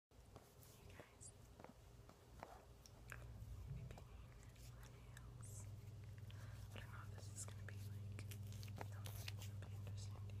I don't know this is gonna be like that'll be interesting to you, but might as well be the nails. Okay.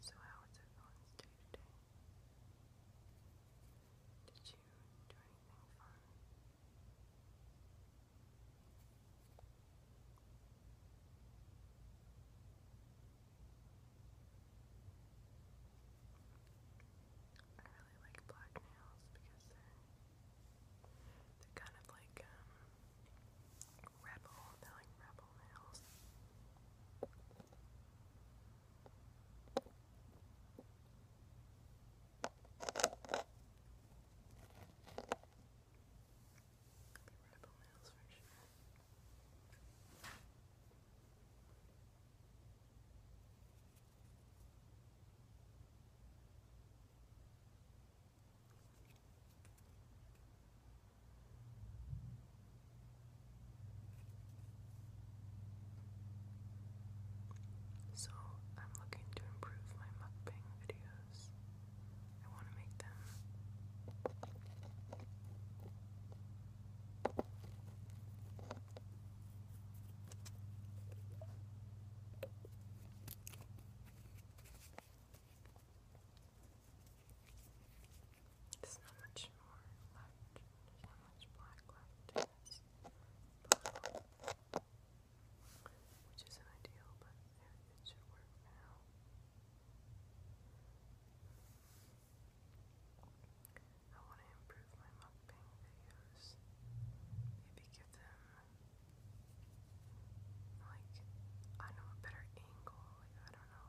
So how was everyone's day today? Did you do anything fun? I really like black nails because they're they're kind of like um Rebel, like rebel nails. Rebel nails for so, I'm looking to improve my mukbang videos. I want to make them there's not much more left. There's not much black left in this which isn't ideal, but it, should work now. I want to improve my mukbang videos. Maybe give them like I know a better angle. Like I don't know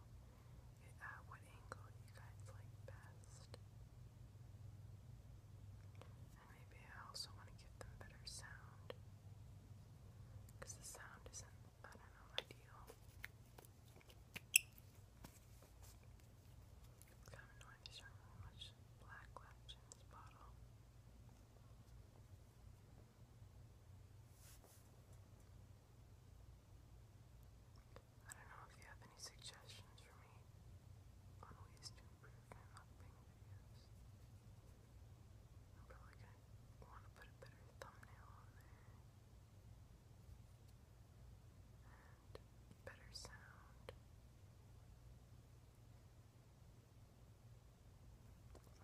uh, what angle you guys like best, and maybe I also want to give them better sound because the sound isn't I don't know ideal. It's kind of annoying there's not really much black left in this bottle. I don't know if you have any suggestions for me on ways to improve my mukbang videos. I'm probably gonna want to put a better thumbnail on there. And better sound.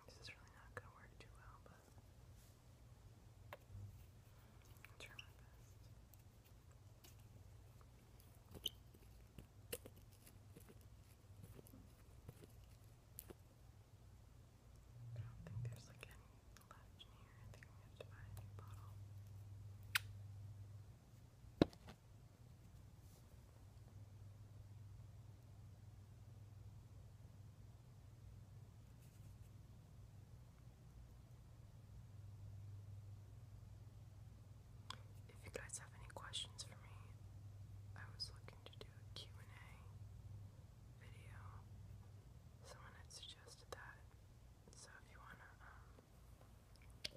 This is really not going to work too well, but I'll try my best. I don't think there's like any left here. I think i have to buy a new bottle. If you guys have any questions for me, I was looking to do a and a video. Someone had suggested that. So if you want to um,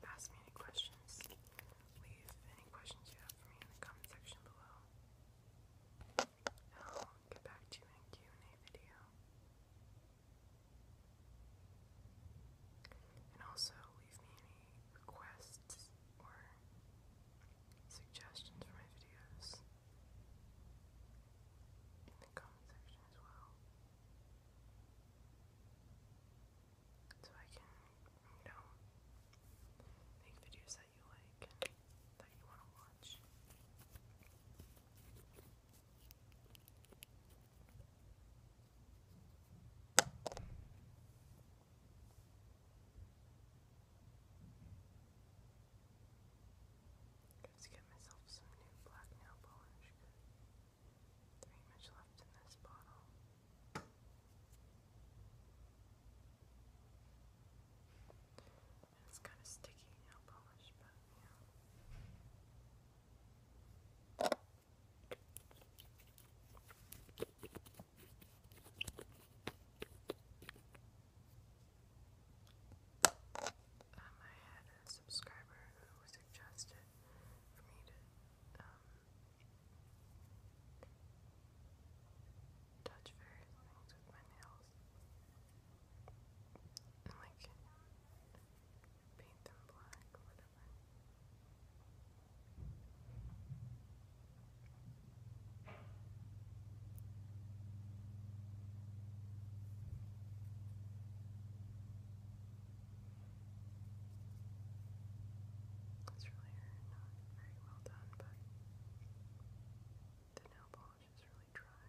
ask me any questions, leave any questions you have for me in the comment section below. I'll get back to you in Q&A video. And also leave me any requests or suggestions for my videos in the comment section as well so I can, you know, make videos that you like that you want to watch. Let's get myself some new black nail polish. There ain't much left in this bottle. It's kind of sticky nail polish, but yeah. Um, I had a subscriber who suggested for me to um, touch various things with my nails and like paint them black whatever. It's really not very well done, but the nail polish is really dry.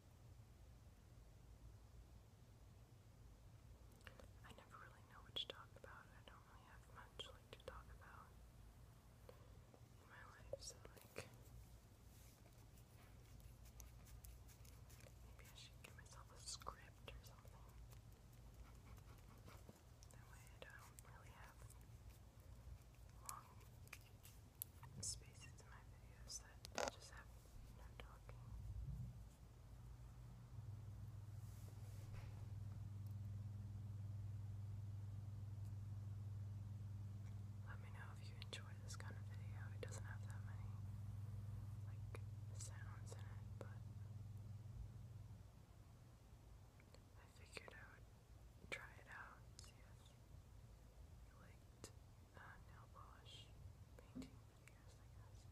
I never really know what to talk about. I don't really have much like to talk about in my life, so like maybe I should give myself a script or something. That way I don't really have long let me know if you enjoy this kind of video. It doesn't have that many like sounds in it, but I figured I would try it out, liked uh, nail polish painting videos, I guess.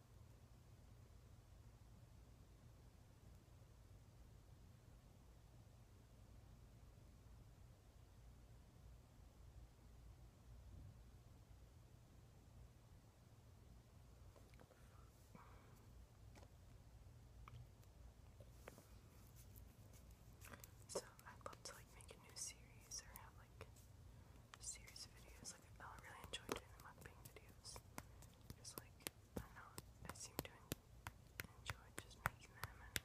So I'd love to like make a new series or have like series videos. Like I really enjoy doing the videos. Because, like, I know, I seem to enjoy just making them, and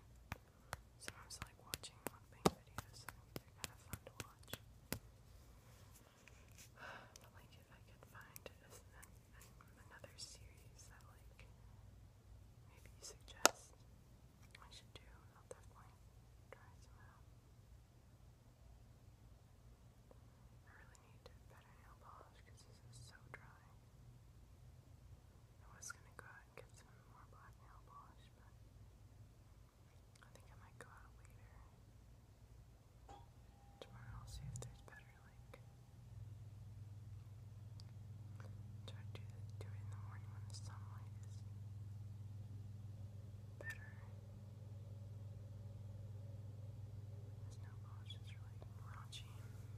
sometimes like watching mukbang videos, they're kind of fun to watch. like, if I could find another series that, like, maybe you suggest I should do, I'll definitely try some out. I really need better nail polish because this is so dry. I was gonna go out and get some more black nail polish, but I think I might go out later. Tomorrow I'll see if there's better like try to do it in the morning when the sunlight is better. This nail polish is really raunchy. This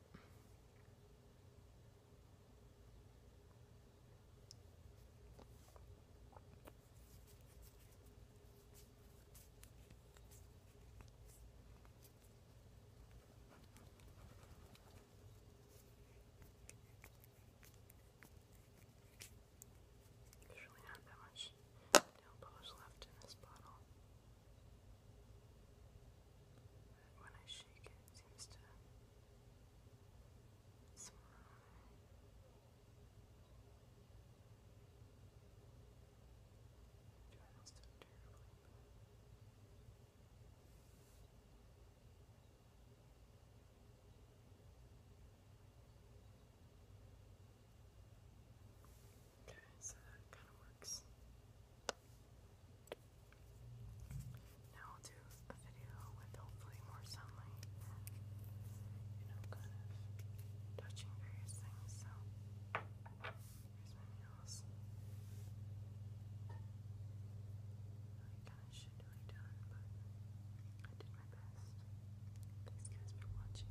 There's really not that much down left in this bottle. But when I shake it, it seems to swallow it. I do terribly, Okay, so that kind of works. Now I'll do a video with hopefully more sunlight you know, kind of touching various things. So, here's my nails. I kind of should be done, but I did my best. Thanks guys for watching.